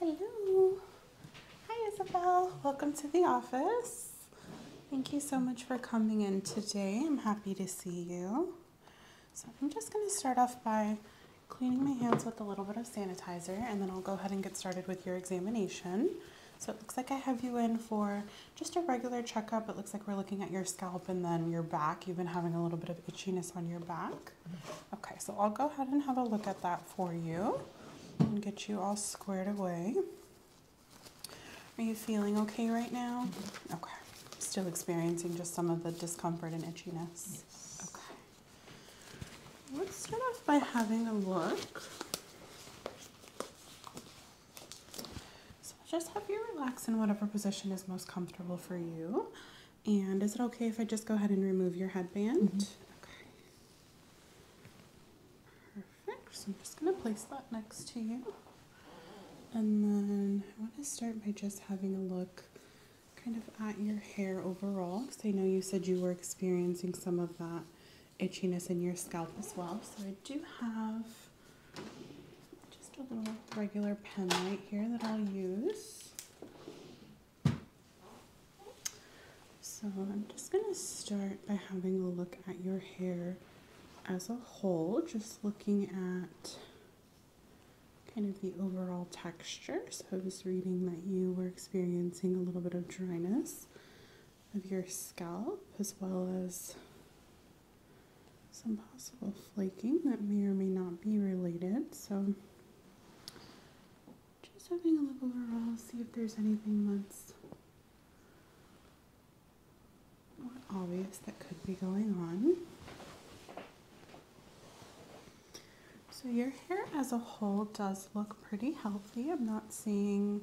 Hello. Hi, Isabel. Welcome to the office. Thank you so much for coming in today. I'm happy to see you. So I'm just going to start off by cleaning my hands with a little bit of sanitizer, and then I'll go ahead and get started with your examination. So it looks like I have you in for just a regular checkup. It looks like we're looking at your scalp and then your back. You've been having a little bit of itchiness on your back. Okay, so I'll go ahead and have a look at that for you and get you all squared away. Are you feeling okay right now? Okay. Still experiencing just some of the discomfort and itchiness. Okay. Let's start off by having a look so i just have you relax in whatever position is most comfortable for you. And is it okay if I just go ahead and remove your headband? Mm-hmm. Okay. Perfect. So I'm just going to place that next to you. And then I want to start by just having a look kind of at your hair overall because I know you said you were experiencing some of that itchiness in your scalp as well. So I do have just a little regular pen right here that I'll use. So I'm just going to start by having a look at your hair as a whole, just looking at kind of the overall texture. So I was reading that you were experiencing a little bit of dryness of your scalp as well as some possible flaking that may or may not be related. So just having a look overall, see if there's anything that's obvious that could be going on. So your hair as a whole does look pretty healthy. I'm not seeing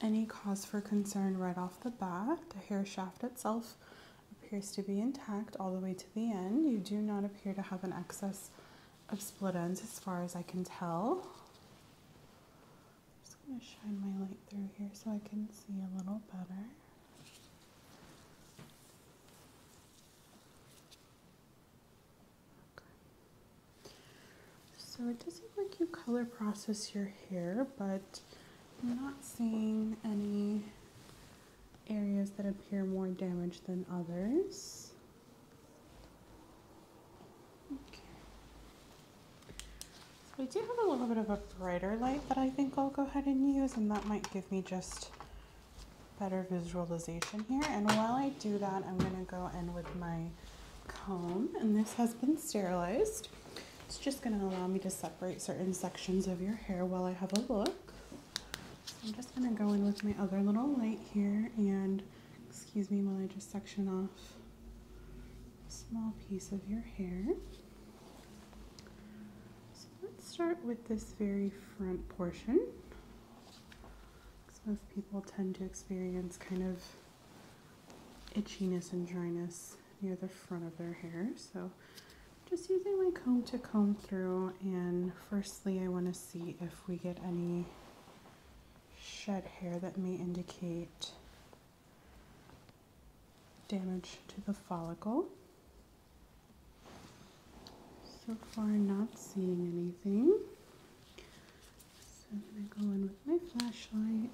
any cause for concern right off the bat. The hair shaft itself appears to be intact all the way to the end. You do not appear to have an excess of split ends as far as I can tell. I'm just going to shine my light through here so I can see a little better. So it does seem like you color process your hair, but I'm not seeing any areas that appear more damaged than others. Okay. So I do have a little bit of a brighter light that I think I'll go ahead and use, and that might give me just better visualization here. And while I do that, I'm going to go in with my comb and this has been sterilized. It's just going to allow me to separate certain sections of your hair while I have a look. So I'm just going to go in with my other little light here and excuse me while I just section off a small piece of your hair. So let's start with this very front portion. Because most people tend to experience kind of itchiness and dryness near the front of their hair. So just using my comb to comb through and firstly I want to see if we get any shed hair that may indicate damage to the follicle. So far not seeing anything. So I'm going to go in with my flashlight.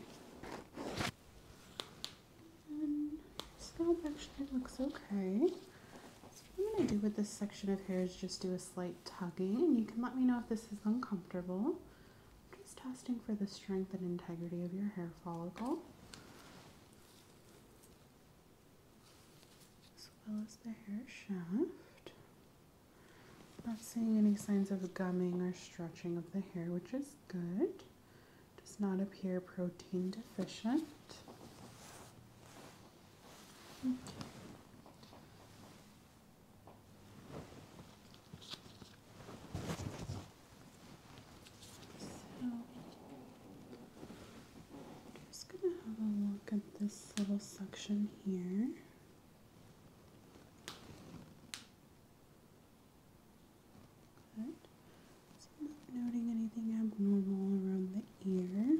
And scalp actually looks okay. So what I'm going to do with this section of hair is just do a slight tugging. And you can let me know if this is uncomfortable. I'm just testing for the strength and integrity of your hair follicle. As well as the hair shaft. Not seeing any signs of gumming or stretching of the hair, which is good. Does not appear protein deficient. just gonna have a look at this little section here. I'm noting anything abnormal around the ear.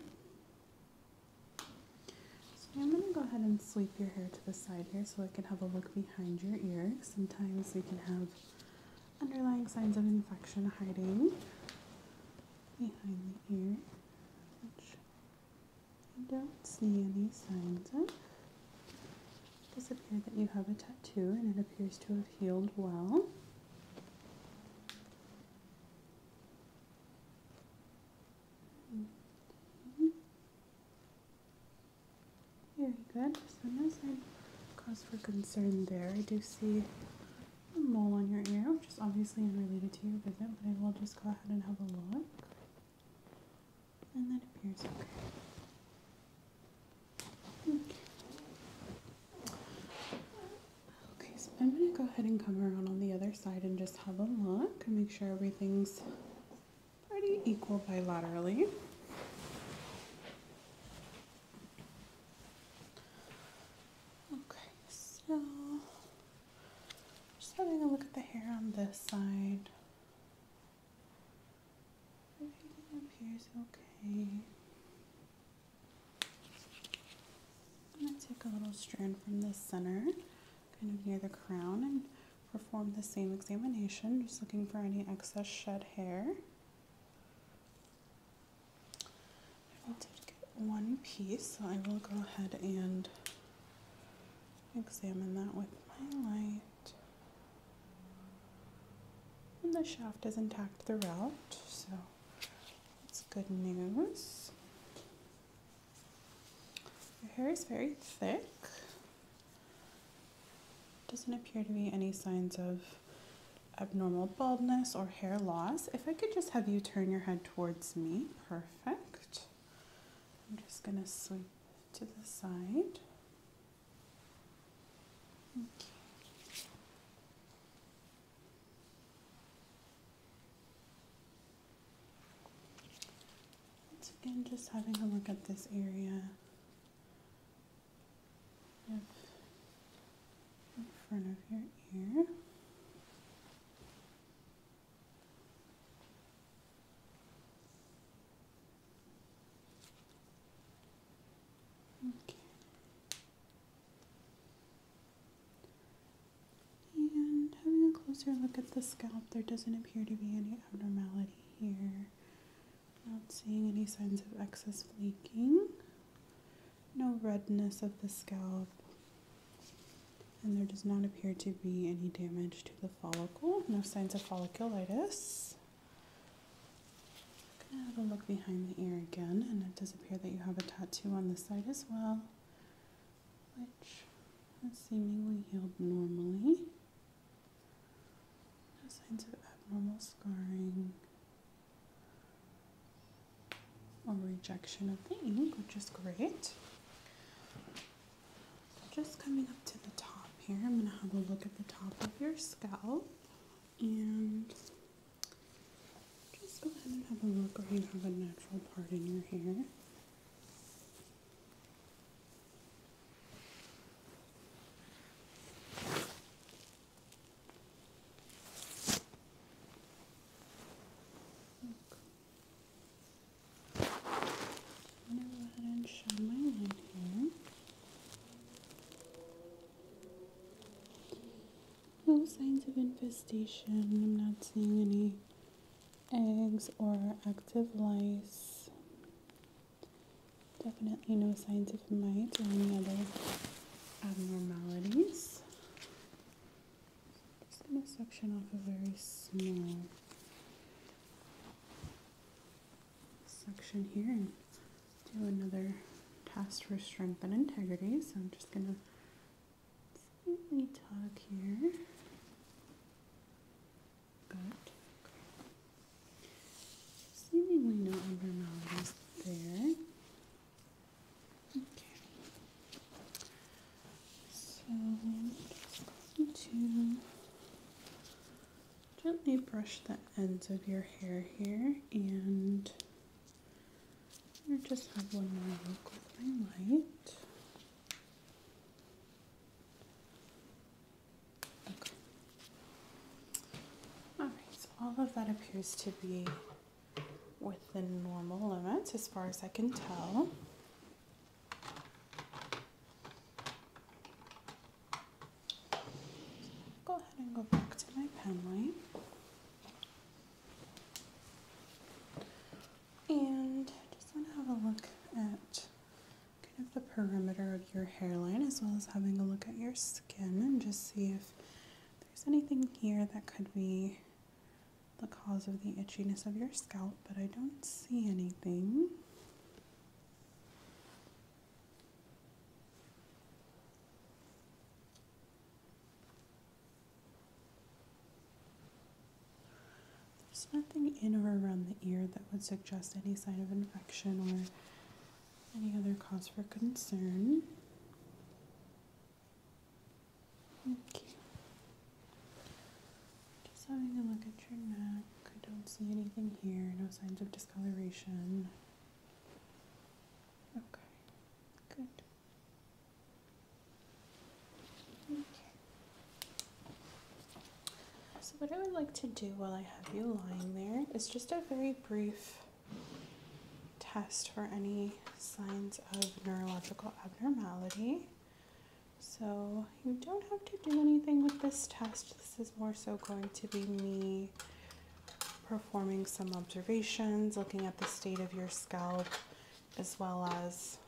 I'm going to go ahead and sweep your hair to the side here so I can have a look behind your ear. Sometimes we can have underlying signs of infection hiding behind the ear, I don't see any signs of. It does appear that you have a tattoo and it appears to have healed well. Very good. So no cause for concern there. I do see a mole on your ear, which is obviously unrelated to your visit, but I will just go ahead and have a look. And that appears okay. Okay, hmm. okay so I'm going to go ahead and come around on the other side and just have a look and make sure everything's pretty equal bilaterally. Okay, so just having a look at the hair on this side. Everything up here is okay. I'm going to take a little strand from the center, kind of near the crown, and perform the same examination, just looking for any excess shed hair. I did get one piece, so I will go ahead and examine that with my light. And the shaft is intact throughout, so that's good news. Your hair is very thick. Doesn't appear to be any signs of abnormal baldness or hair loss. If I could just have you turn your head towards me, perfect. I'm just gonna sweep to the side. Once again, just having a look at this area in front of your ear. And having a closer look at the scalp, there doesn't appear to be any abnormality here. Not seeing any signs of excess flaking. No redness of the scalp. And there does not appear to be any damage to the follicle. No signs of folliculitis. I'm gonna have a look behind the ear again, and it does appear that you have a tattoo on the side as well, which has seemingly healed normally. No signs of abnormal scarring or rejection of the ink, which is great. Just coming up to the top here, I'm going to have a look at the top of your scalp and just go ahead and have a look where you have a natural part in your hair. No signs of infestation. I'm not seeing any eggs or active lice. Definitely no signs of mites or any other abnormalities. Just going to section off a very small section here and do another test for strength and integrity. So I'm just going to slightly tuck here. Good. Seemingly no abnormalities there. Okay. So just to gently brush the ends of your hair here and I just have one more look with my light. Alright, so all of that appears to be within normal limits as far as I can tell. Go ahead and go back to my pen And just want to have a look at kind of the perimeter of your hairline as well as having a look at your skin and just see if there's anything here that could be the cause of the itchiness of your scalp, but I don't see anything. There's nothing in or around the ear that would suggest any sign of infection or any other cause for concern. Just having a look at your neck. I don't see anything here, no signs of discoloration. Okay, good. Okay. So, what I would like to do while I have you lying there is just a very brief test for any signs of neurological abnormality. So you don't have to do anything with this test. This is more so going to be me performing some observations, looking at the state of your scalp, as well as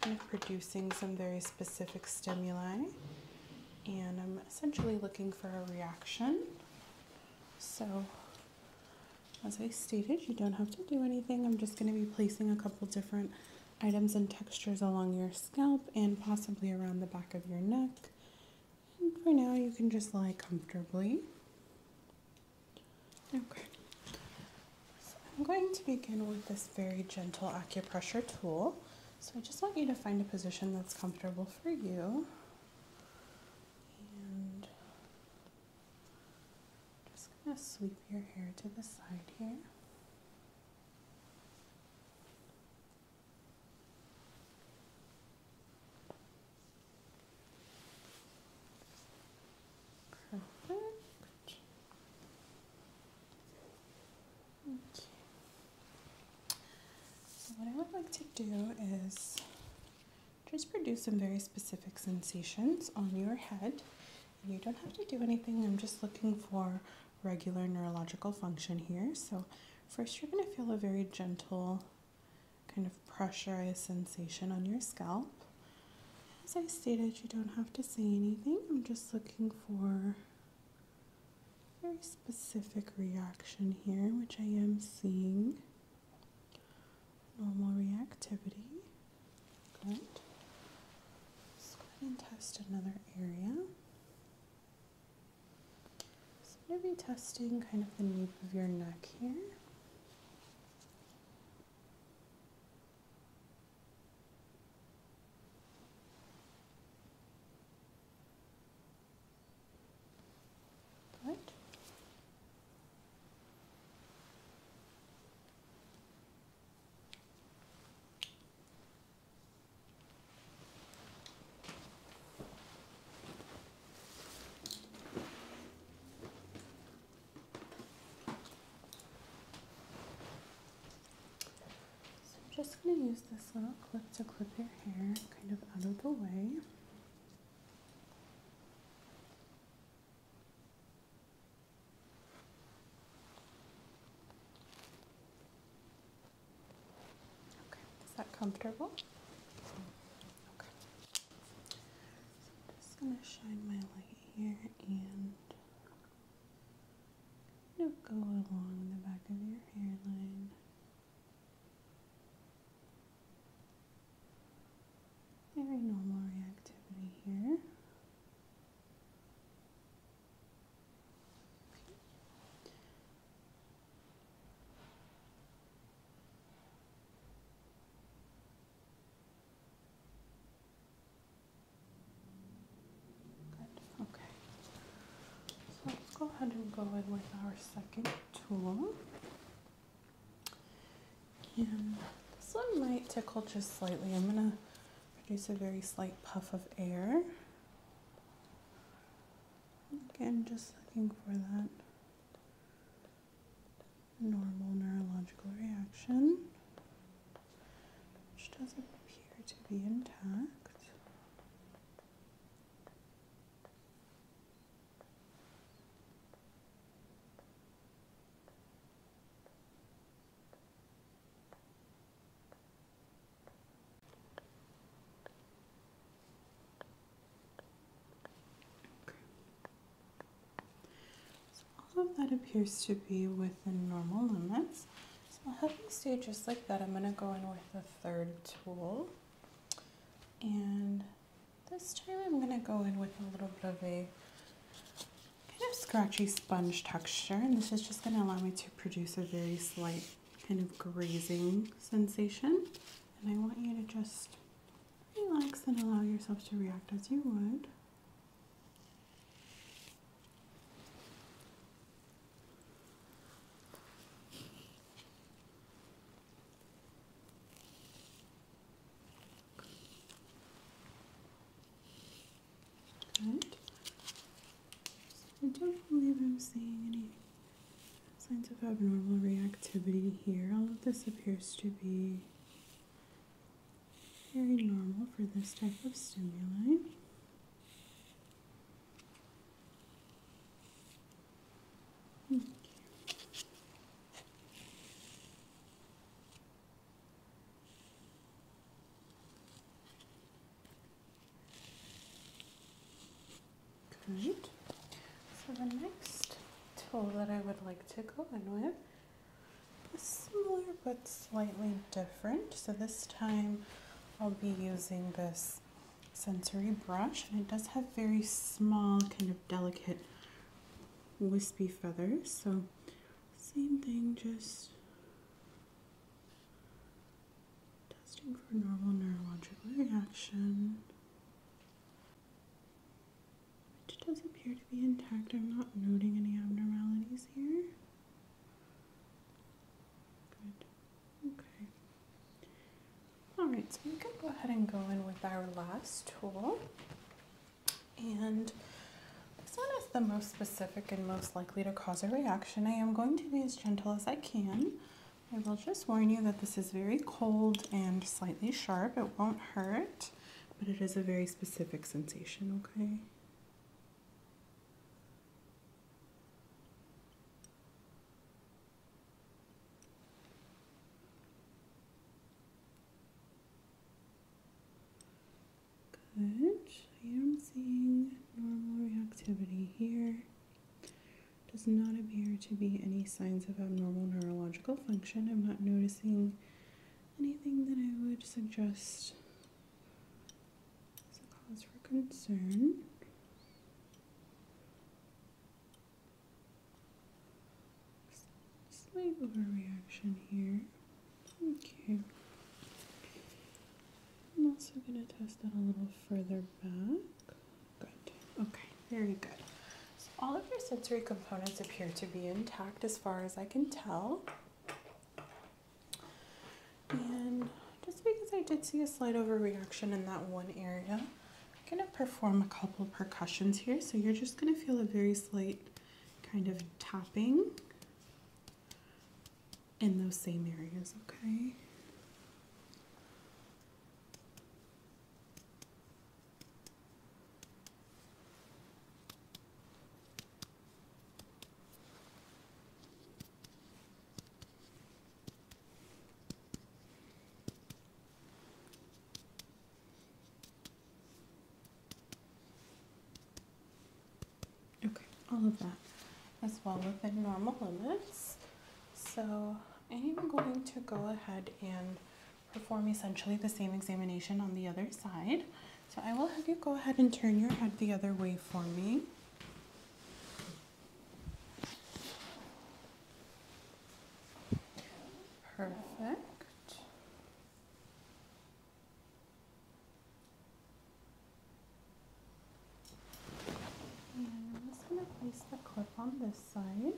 kind of producing some very specific stimuli. And I'm essentially looking for a reaction. So as I stated, you don't have to do anything. I'm just going to be placing a couple different items and textures along your scalp and possibly around the back of your neck. And for now, you can just lie comfortably. Okay. So I'm going to begin with this very gentle acupressure tool. So I just want you to find a position that's comfortable for you. And just going to sweep your hair to the side here. Perfect. Okay. So what I would like to do is just produce some very specific sensations on your head you don't have to do anything. I'm just looking for regular neurological function here. So, first, you're going to feel a very gentle kind of pressurized sensation on your scalp. As I stated, you don't have to say anything. I'm just looking for very specific reaction here, which I am seeing normal reactivity. Let's go ahead and test another area. So I'm going to be testing kind of the nape of your neck here. Good. I'm just going to use this little clip to clip your hair kind of out of the way. Okay, is that comfortable? Okay. So I'm just gonna shine my light here and go along the back of your hairline. Very normal reactivity here. Okay. So let's go ahead and go in with our second tool. And this one might tickle just slightly. I'm going to produce a very slight puff of air. Again, just looking for that normal neurological reaction, which doesn't appear to be intact. So all of that appears to be within normal limits. So I'll have you stay just like that. I'm going to go in with the third tool. And this time I'm going to go in with a little bit of a kind of scratchy sponge texture and this is just going to allow me to produce a very slight kind of grazing sensation and I want you to just relax and allow yourself to react as you would. Good. I don't believe I'm seeing any signs of abnormal reactivity here. All of this appears to be very normal for this type of stimuli. So the next tool that I would like to go in with is similar but slightly different. So this time I'll be using this sensory brush and it does have very small kind of delicate wispy feathers. So same thing, just testing for normal neurological reaction, which does appear to be intact. I'm not noting any abnormalities here. Good. Okay. All right, so we can go ahead and go in with our last tool. And this one is the most specific and most likely to cause a reaction. I am going to be as gentle as I can. I will just warn you that this is very cold and slightly sharp. It won't hurt, but it is a very specific sensation, okay? Good. I'm seeing normal reactivity here. Does not appear to be any signs of abnormal neurological function. I'm not noticing anything that I would suggest as a cause for concern slight overreaction here. Okay. I'm also going to test that a little further back. Good. Okay, very good. So all of your sensory components appear to be intact as far as I can tell. And just because I did see a slight overreaction in that one area, I'm going to perform a couple percussions here. So you're just going to feel a very slight kind of tapping in those same areas, okay? Okay, all of that, as well within normal limits. So I am even going to go ahead and perform essentially the same examination on the other side. So I will have you go ahead and turn your head the other way for me. Perfect. I'm just going to place the clip on this side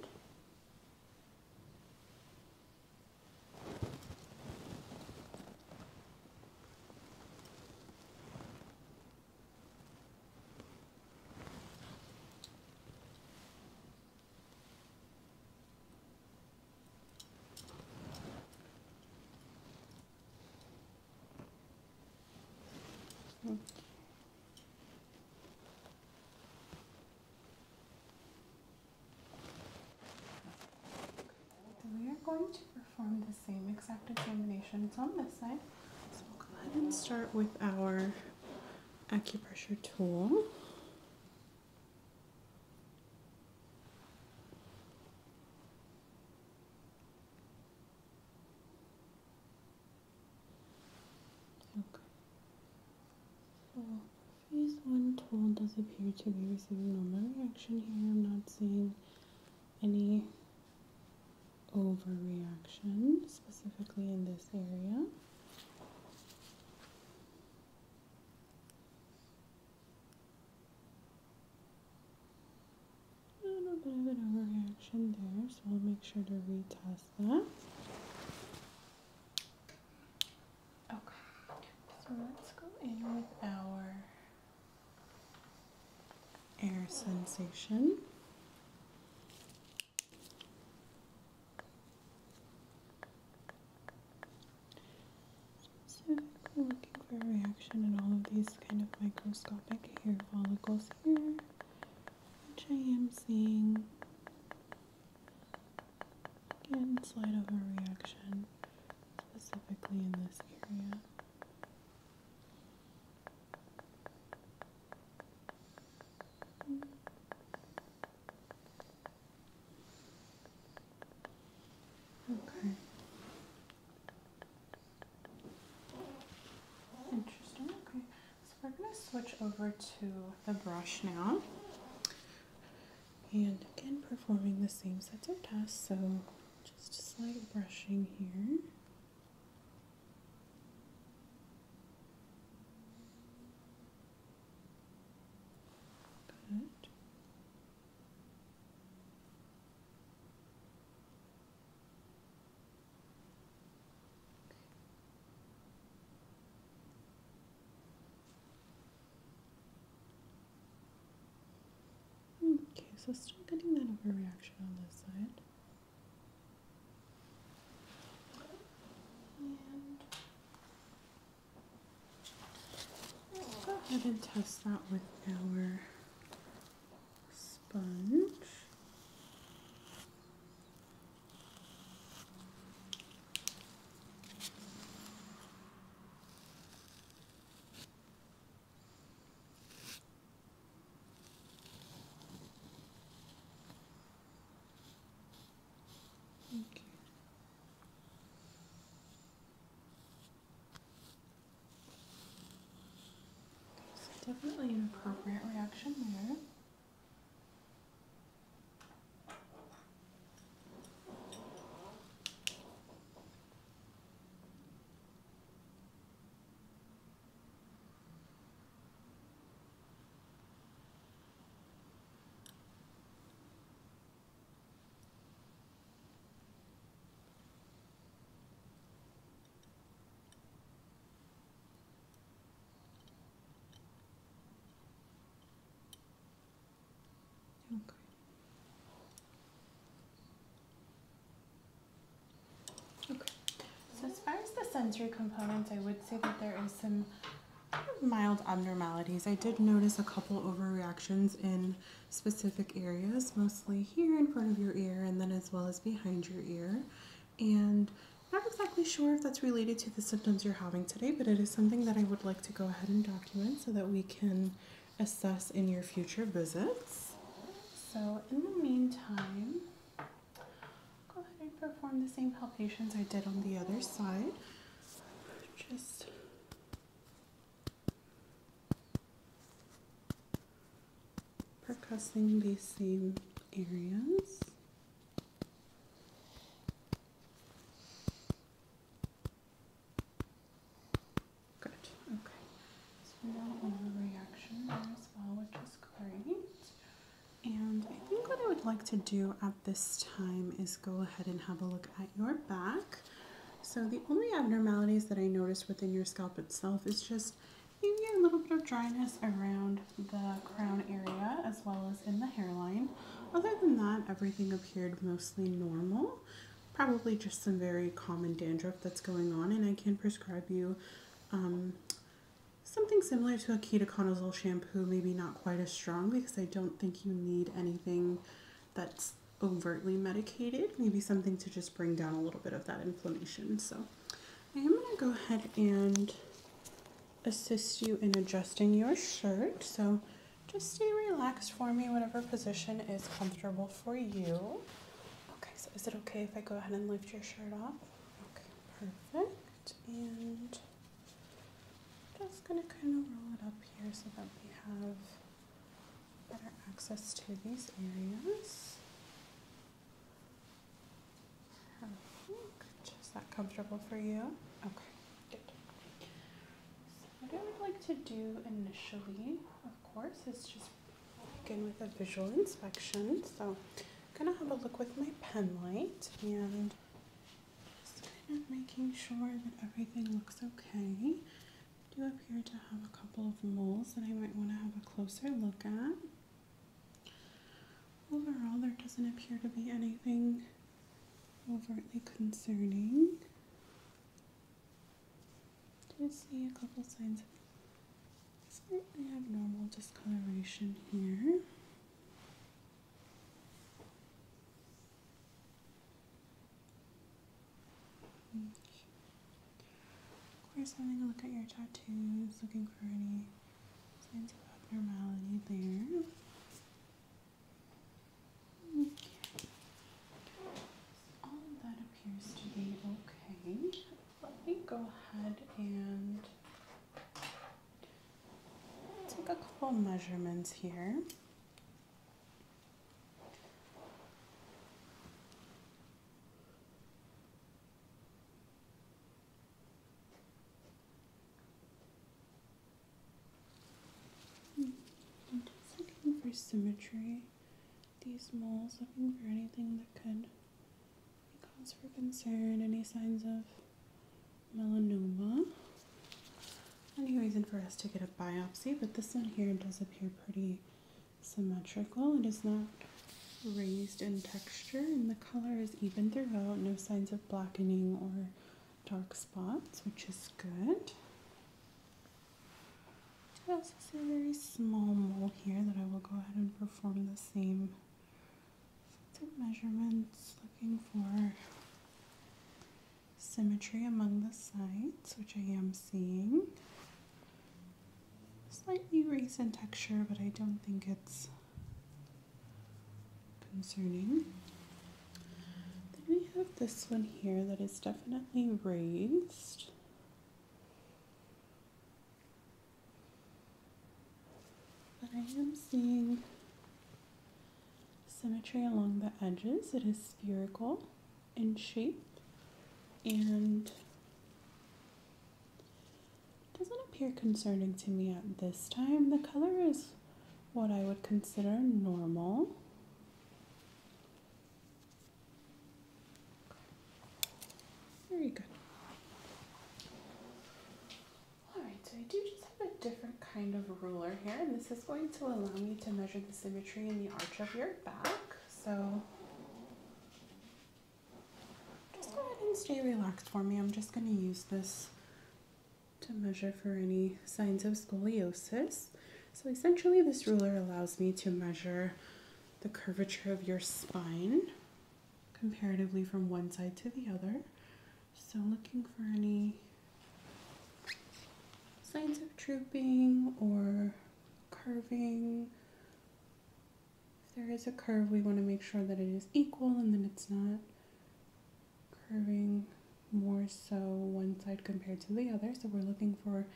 we are going to perform the same exact examination. It's on this side. So we'll go ahead and start with our acupressure tool. Okay. So phase one toll does appear to be receiving normal reaction here. I'm not seeing any overreaction specifically in this area. A little bit of an overreaction there, so we'll make sure to retest that. Okay, so let's go in with our air sensation. Specifically looking for a reaction in all of these kind of microscopic hair follicles here, which I am seeing. Again, slight of a reaction, specifically in this area. Okay. Interesting. Okay. So we're going to switch over to the brush now. And again, performing the same sets of tasks. So just a slight brushing here. Okay, so still getting that overreaction on this side. Let's go ahead and test that with our sponge. Thank you. definitely an appropriate reaction there. Okay. Okay. So as far as the sensory components, I would say that there is some mild abnormalities. I did notice a couple overreactions in specific areas, mostly here in front of your ear and then as well as behind your ear. And not exactly sure if that's related to the symptoms you're having today, but it is something that I would like to go ahead and document so that we can assess in your future visits. So in the meantime, go ahead and perform the same palpations I did on the other side just percussing these same areas. Good. Okay. So we got reaction there as well, which is great. And I think what I would like to do at this time is go ahead and have a look at your back. So the only abnormalities that I noticed within your scalp itself is just maybe a little bit of dryness around the crown area as well as in the hairline. Other than that, everything appeared mostly normal. Probably just some very common dandruff that's going on and I can prescribe you um, something similar to a ketoconazole shampoo, maybe not quite as strong I don't think you need anything that's overtly medicated. Maybe something to just bring down a little bit of that inflammation. So I am going to go ahead and assist you in adjusting your shirt. So just stay relaxed for me, whatever position is comfortable for you. Okay, so is it okay if I go ahead and lift your shirt off? Okay, perfect. And just going to kind of roll it up here so that we have better access to these areas. Just that comfortable for you? Okay, good. what I would like to do initially, of course, is just begin with a visual inspection. So I'm going to have a look with my pen light and just kind of making sure that everything looks okay. Do appear to have a couple of moles that I might want to have a closer look at. Overall, there doesn't appear to be anything overtly concerning. Did see a couple signs of abnormal discoloration here. Of course, having a look at your tattoos, looking for any signs of abnormality there. All that appears to be okay. Let me go ahead and Take a couple measurements here. I'm just looking for symmetry. These moles, looking for anything that could cause for concern, any signs of melanoma. Any reason for us to get a biopsy, but this one here does appear pretty symmetrical. It is not raised in texture and the color is even throughout, no signs of blackening or dark spots, which is good. I also a very small mole here that I will go ahead and perform the same the measurements, looking for symmetry among the sides, which I am seeing. Slightly raised in texture, but I don't think it's concerning. Then we have this one here that is definitely raised. But I am seeing symmetry along the edges. It is spherical in shape and doesn't appear concerning to me at this time. The color is what I would consider normal. Very good. Alright, so I do just have a different kind of ruler here, and this is going to allow me to measure the symmetry in the arch of your back. So just go ahead and stay relaxed for me. I'm just going to use this to measure for any signs of scoliosis. So essentially this ruler allows me to measure the curvature of your spine comparatively from one side to the other. So looking for any signs of drooping or curving. If there is a curve, we want to make sure that it is equal and then it's not curving more so one side compared to the other. So we're looking for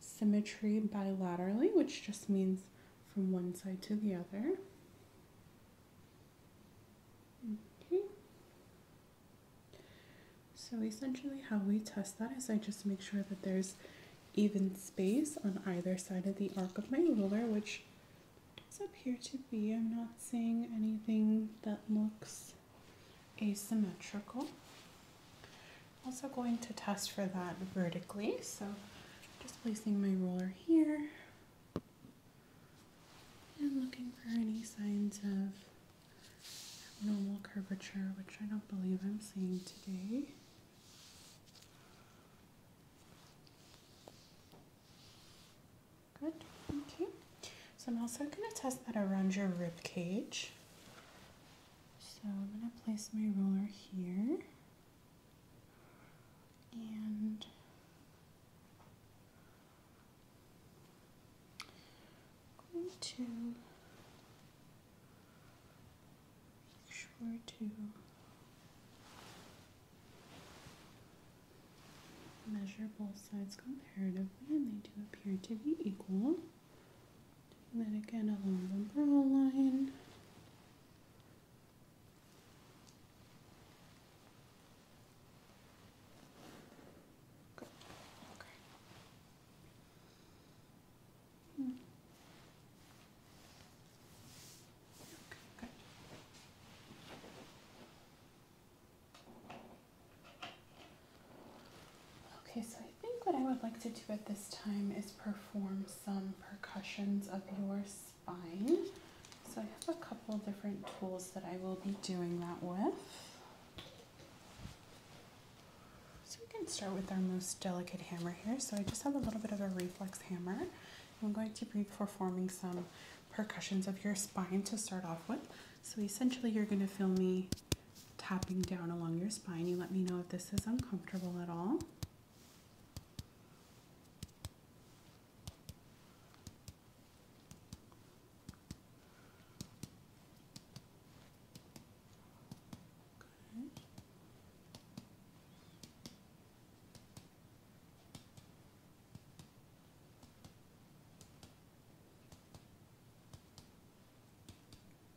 symmetry bilaterally, which just means from one side to the other. Okay. Mm-hmm. So essentially how we test that is I just make sure that there's even space on either side of the arc of my ruler, which does appear to be. I'm not seeing anything that looks asymmetrical. Also going to test for that vertically, so just placing my ruler here, and looking for any signs of normal curvature, which I don't believe I'm seeing today. Good. Okay. So I'm also going to test that around your rib cage. So I'm going to place my roller here and to make sure to measure both sides comparatively and they do appear to be equal. And then again along the brow line. Okay. Hmm. Okay, good. Okay, so I think what I would like to do at this time is perform some percussions of yours fine. So I have a couple of different tools that I will be doing that with. So we can start with our most delicate hammer here. So I just have a little bit of a reflex hammer. I'm going to be performing some percussions of your spine to start off with. So essentially you're going to feel me tapping down along your spine. You let me know if this is uncomfortable at all. Good.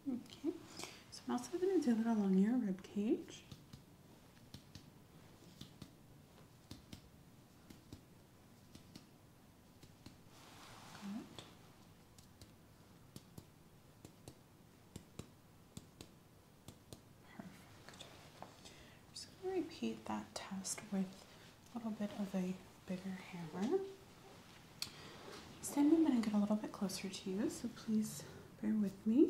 Okay, so I'm also going to do it along your rib cage. Perfect. I'm just going to repeat that test with a little bit of a bigger hammer. This time i going to get a little bit closer to you, so please bear with me.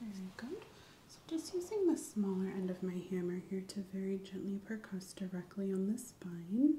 Very good. So just using the smaller end of my hammer here to very gently percuss directly on the spine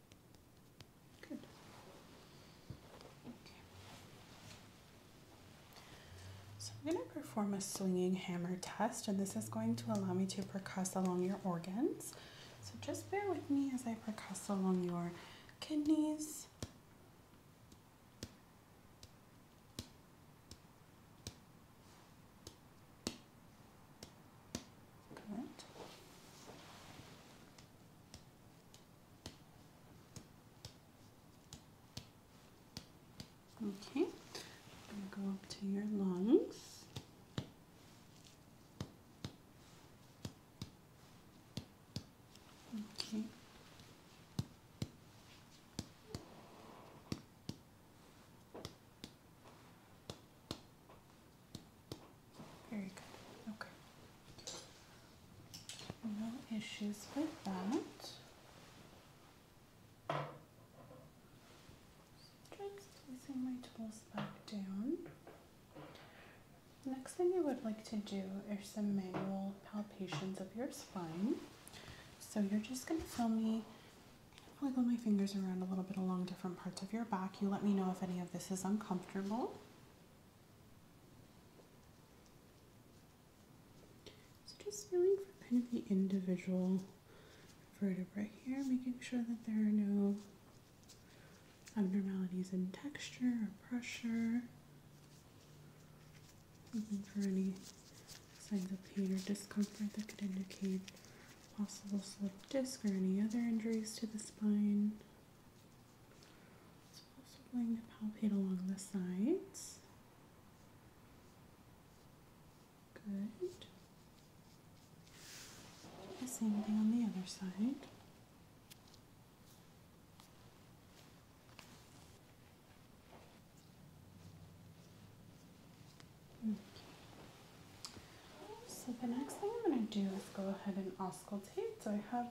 so I'm going to perform a swinging hammer test, and this is going to allow me to percuss along your organs. So just bear with me as I percuss along your kidneys, Okay, I'm going to go up to your lungs. Okay. Very good. Okay. No issues with that. Just placing my tools back down. Next thing I would like to do is some manual palpations of your spine. So you're just going to feel me wiggle my fingers around a little bit along different parts of your back. You let me know if any of this is uncomfortable. So just feeling for kind of the individual vertebrae here, making sure that there are no abnormalities in texture or pressure. Looking for any signs of pain or discomfort that could indicate possible slip disc or any other injuries to the spine. So also going to palpate along the sides. Good. The same thing on the other side. Okay. So the next thing I'm going to do is go ahead and auscultate. So I have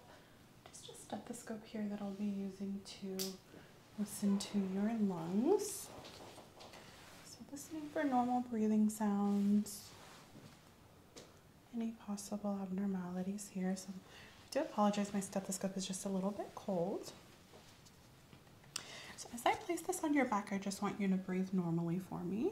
just a stethoscope here that I'll be using to listen to your lungs. So, listening for normal breathing sounds, any possible abnormalities here. So, I do apologize, my stethoscope is just a little bit cold. So, as I place this on your back, I just want you to breathe normally for me.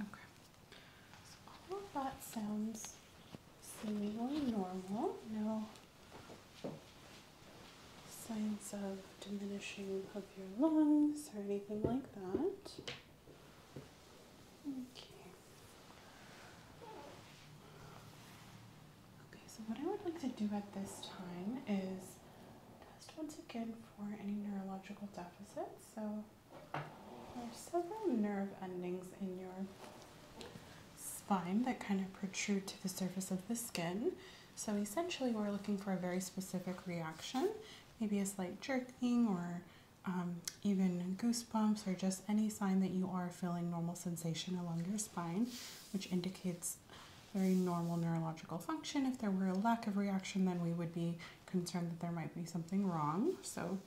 Okay. So all of that sounds seemingly normal. No signs of diminishing of your lungs or anything like that. Okay. Okay, so what I would like to do at this time is test once again for any neurological deficits. So there are several nerve endings in your spine that kind of protrude to the surface of the skin. So essentially, we're looking for a very specific reaction, maybe a slight jerking or um, even goosebumps, or just any sign that you are feeling normal sensation along your spine, which indicates very normal neurological function. If there were a lack of reaction, then we would be concerned that there might be something wrong. So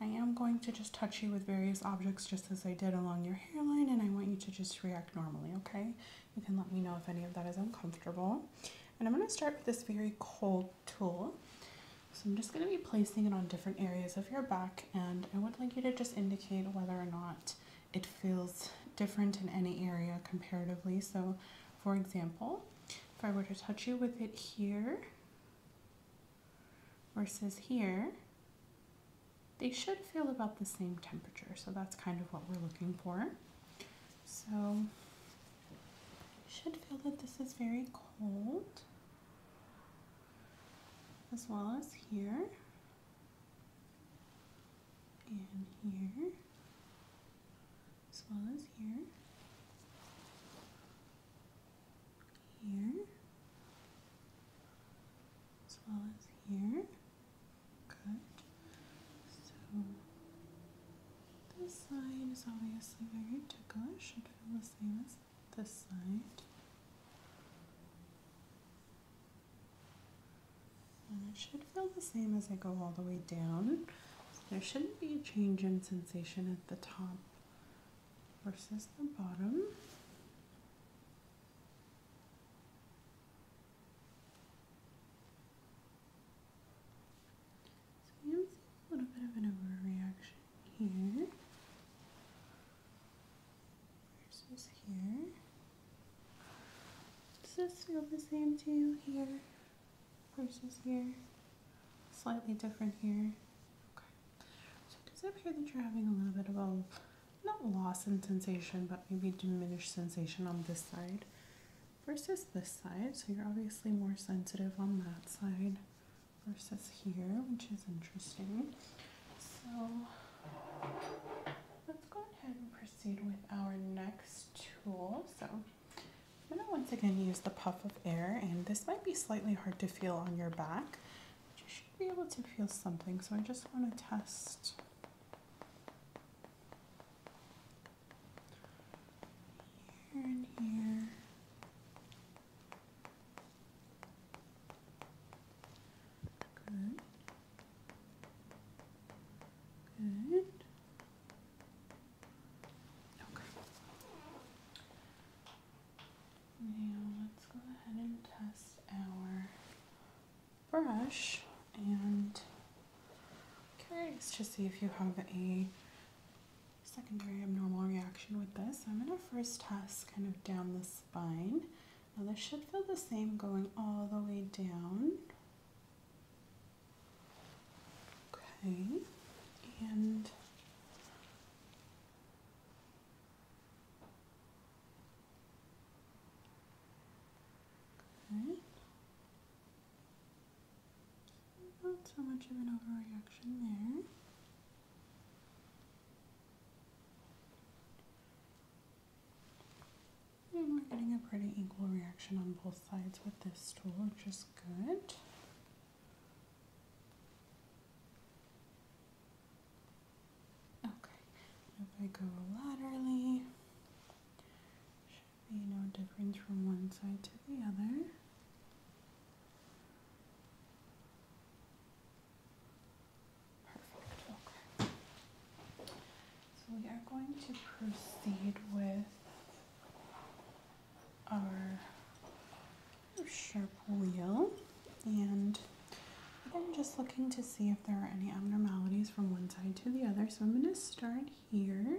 I am going to just touch you with various objects just as I did along your hairline, and I want you to just react normally, okay? You can let me know if any of that is uncomfortable. And I'm going to start with this very cold tool. So I'm just going to be placing it on different areas of your back and I would like you to just indicate whether or not it feels different in any area comparatively. So for example, if I were to touch you with it here versus here, they should feel about the same temperature. So that's kind of what we're looking for. So you should feel that this is very cold as well as here and here as well as here here as well as here good so this line is obviously very ticklish should feel the same as this side. And it should feel the same as I go all the way down. there shouldn't be a change in sensation at the top versus the bottom. a little bit of an overreaction here versus here. Does this feel the same to you here versus here? Slightly different here. Okay. So it does appear that you're having a little bit of a not loss in sensation, but maybe diminished sensation on this side versus this side. So you're obviously more sensitive on that side versus here, which is interesting. So let's go ahead and proceed with our next tool. So I'm gonna once again use the puff of air and this might be slightly hard to feel on your back, you should be able to feel something. So I just wanna test here and here. Good. Good. Okay. Now let's go ahead and test our brush and okay, let's just see if you have a secondary abnormal reaction with this. I'm going to first test kind of down the spine. Now this should feel the same going all the way down. Okay, and Not so much of an overreaction there we're getting a pretty equal reaction on both sides with this tool, which is good. Okay, if I go laterally, should be no difference from one side to the other. Perfect. Okay. So we are going to proceed with our sharp wheel and I'm just looking to see if there are any abnormalities from one side to the other. So I'm going to start here.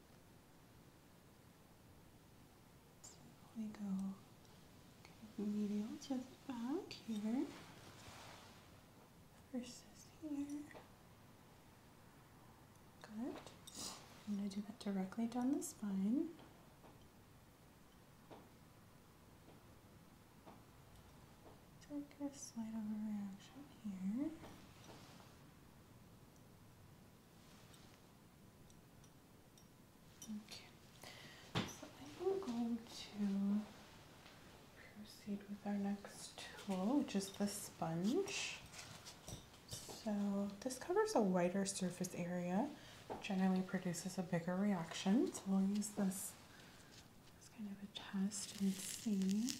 We go okay, medial to the back here versus here. Good. I'm going to do that directly down the spine. Take a slight overreaction here. Okay, so I am going to proceed with our next tool, which is the sponge. So this covers a wider surface area, generally produces a bigger reaction. So we'll use this as kind of a test and see.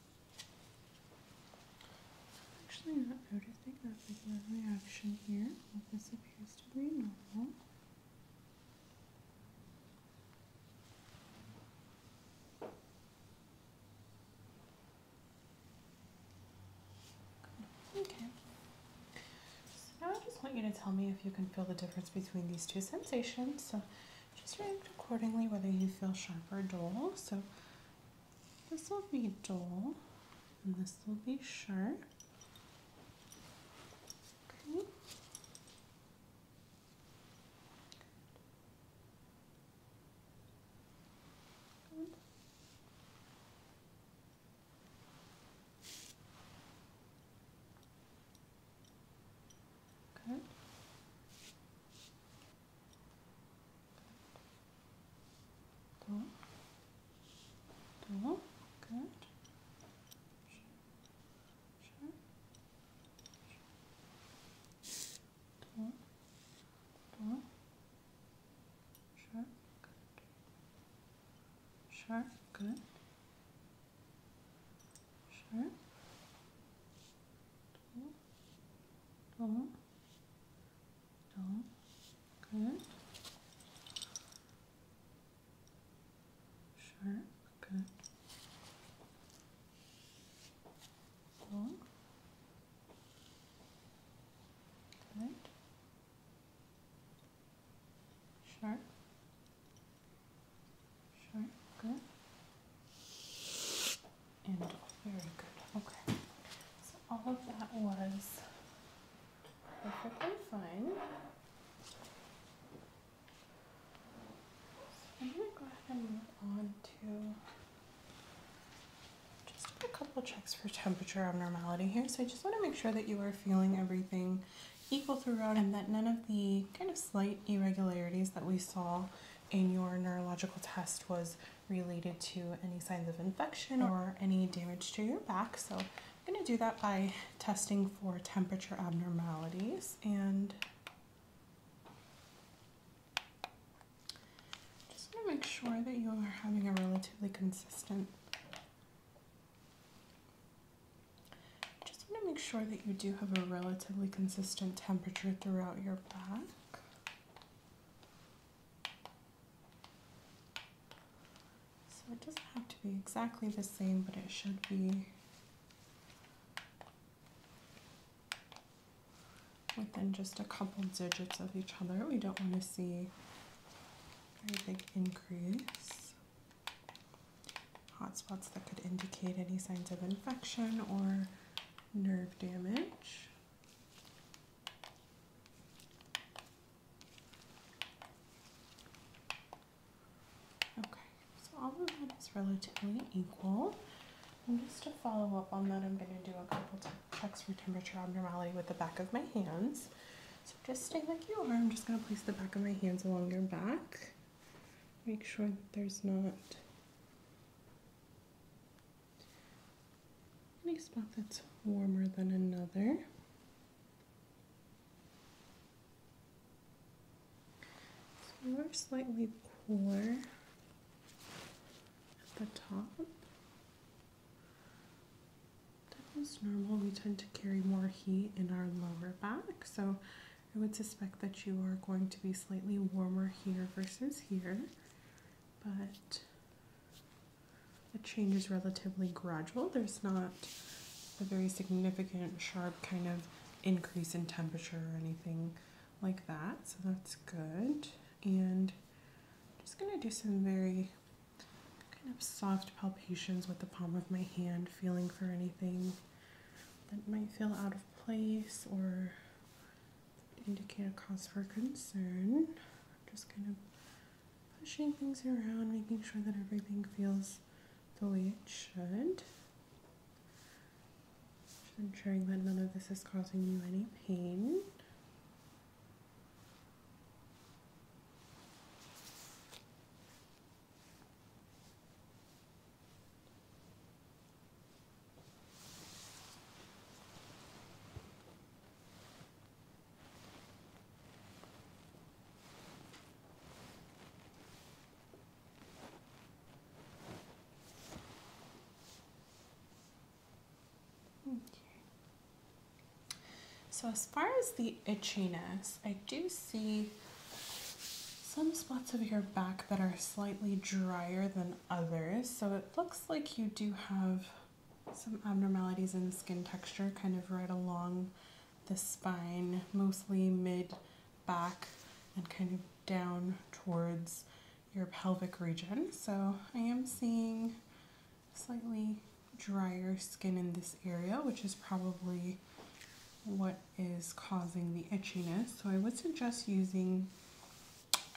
Actually not noticing that regular reaction here. Well, this appears to be normal. Okay. now I just want you to tell me if you can feel the difference between these two sensations. So just react accordingly whether you feel sharp or dull. So this will be Dole, and this will be Sure. Okay. Good. Two. Two. Good. Two. Two. Sure. Good. Sure. Good. Sure. Two don't, don't, good. Sure, good. Don't. Good. Sharp. Sharp. Good. And all. Very good. Okay. So all of that was perfectly fine. So I'm going to go ahead and move on to just a couple checks for temperature abnormality here. So I just want to make sure that you are feeling everything equal throughout and that none of the kind of slight irregularities that we saw in your neurological test was related to any signs of infection or any damage to your back. So I'm going to do that by testing for temperature abnormalities and just going to make sure that you are having a relatively consistent. Just want to make sure that you do have a relatively consistent temperature throughout your bath. So it doesn't have to be exactly the same, but it should be within just a couple digits of each other. We don't want to see a very big increase. Hot spots that could indicate any signs of infection or nerve damage. Okay, so all of that is relatively equal. And just to follow up on that, I'm going to do a couple checks for temperature abnormality with the back of my hands. So just stay like you are. I'm just going to place the back of my hands along your back. Make sure there's not any spot that's warmer than another. So we're slightly cooler at the top. That is normal. We tend to carry more heat in our lower back, so I would suspect that you are going to be slightly warmer here versus here, but the change is relatively gradual. There's not a very significant, sharp kind of increase in temperature or anything like that, so that's good. And I'm just going to do some very kind of soft palpations with the palm of my hand, feeling for anything that might feel out of place or Indicate a cause for concern. I'm just kind of pushing things around, making sure that everything feels the way it should. Just ensuring that none of this is causing you any pain. So as far as the itchiness, I do see some spots of your back that are slightly drier than others. So it looks like you do have some abnormalities in the skin texture kind of right along the spine, mostly mid back and kind of down towards your pelvic region. So I am seeing slightly drier skin in this area, which is probably what is causing the itchiness. So I would suggest using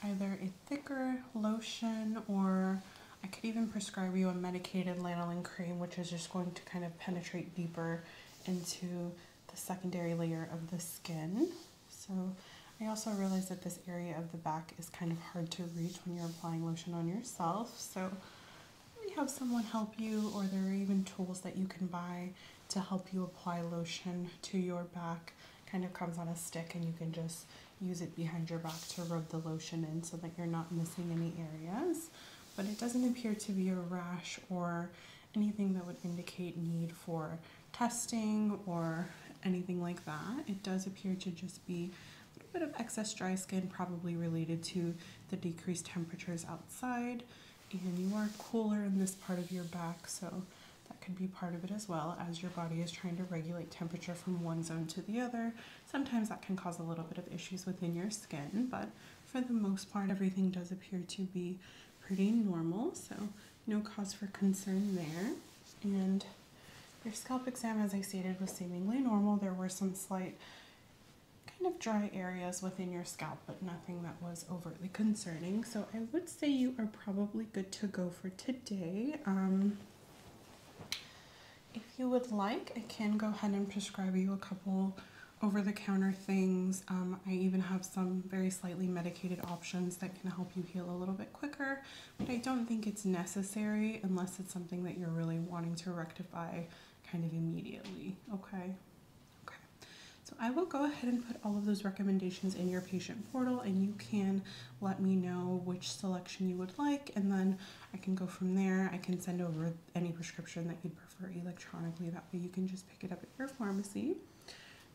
either a thicker lotion or I could even prescribe you a medicated lanolin cream, which is just going to kind of penetrate deeper into the secondary layer of the skin. So I also realize that this area of the back is kind of hard to reach when you're applying lotion on yourself. So maybe have someone help you or there are even tools that you can buy to help you apply lotion to your back. Kind of comes on a stick and you can just use it behind your back to rub the lotion in so that you're not missing any areas. But it doesn't appear to be a rash or anything that would indicate need for testing or anything like that. It does appear to just be a little bit of excess dry skin, probably related to the decreased temperatures outside. And you are cooler in this part of your back, so that could be part of it as well as your body is trying to regulate temperature from one zone to the other. Sometimes that can cause a little bit of issues within your skin, but for the most part, everything does appear to be pretty normal, so no cause for concern there. And your scalp exam, as I stated, was seemingly normal. There were some slight kind of dry areas within your scalp but nothing that was overtly concerning. So I would say you are probably good to go for today. Um, if you would like, I can go ahead and prescribe you a couple over-the-counter things. Um, I even have some very slightly medicated options that can help you heal a little bit quicker, but I don't think it's necessary unless it's something that you're really wanting to rectify kind of immediately, okay? Okay, so I will go ahead and put all of those recommendations in your patient portal and you can let me know which selection you would like and then I can go from there. I can send over any prescription that you'd prefer electronically. That way you can just pick it up at your pharmacy.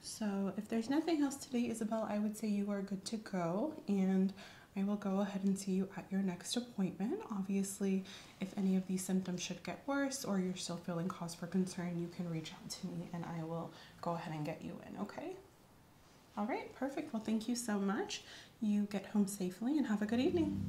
So if there's nothing else today, Isabel, I would say you are good to go and I will go ahead and see you at your next appointment. Obviously, if any of these symptoms should get worse or you're still feeling cause for concern, you can reach to me and I will go ahead and get you in, okay? All right, perfect. Well, thank you so much. You get home safely and have a good evening.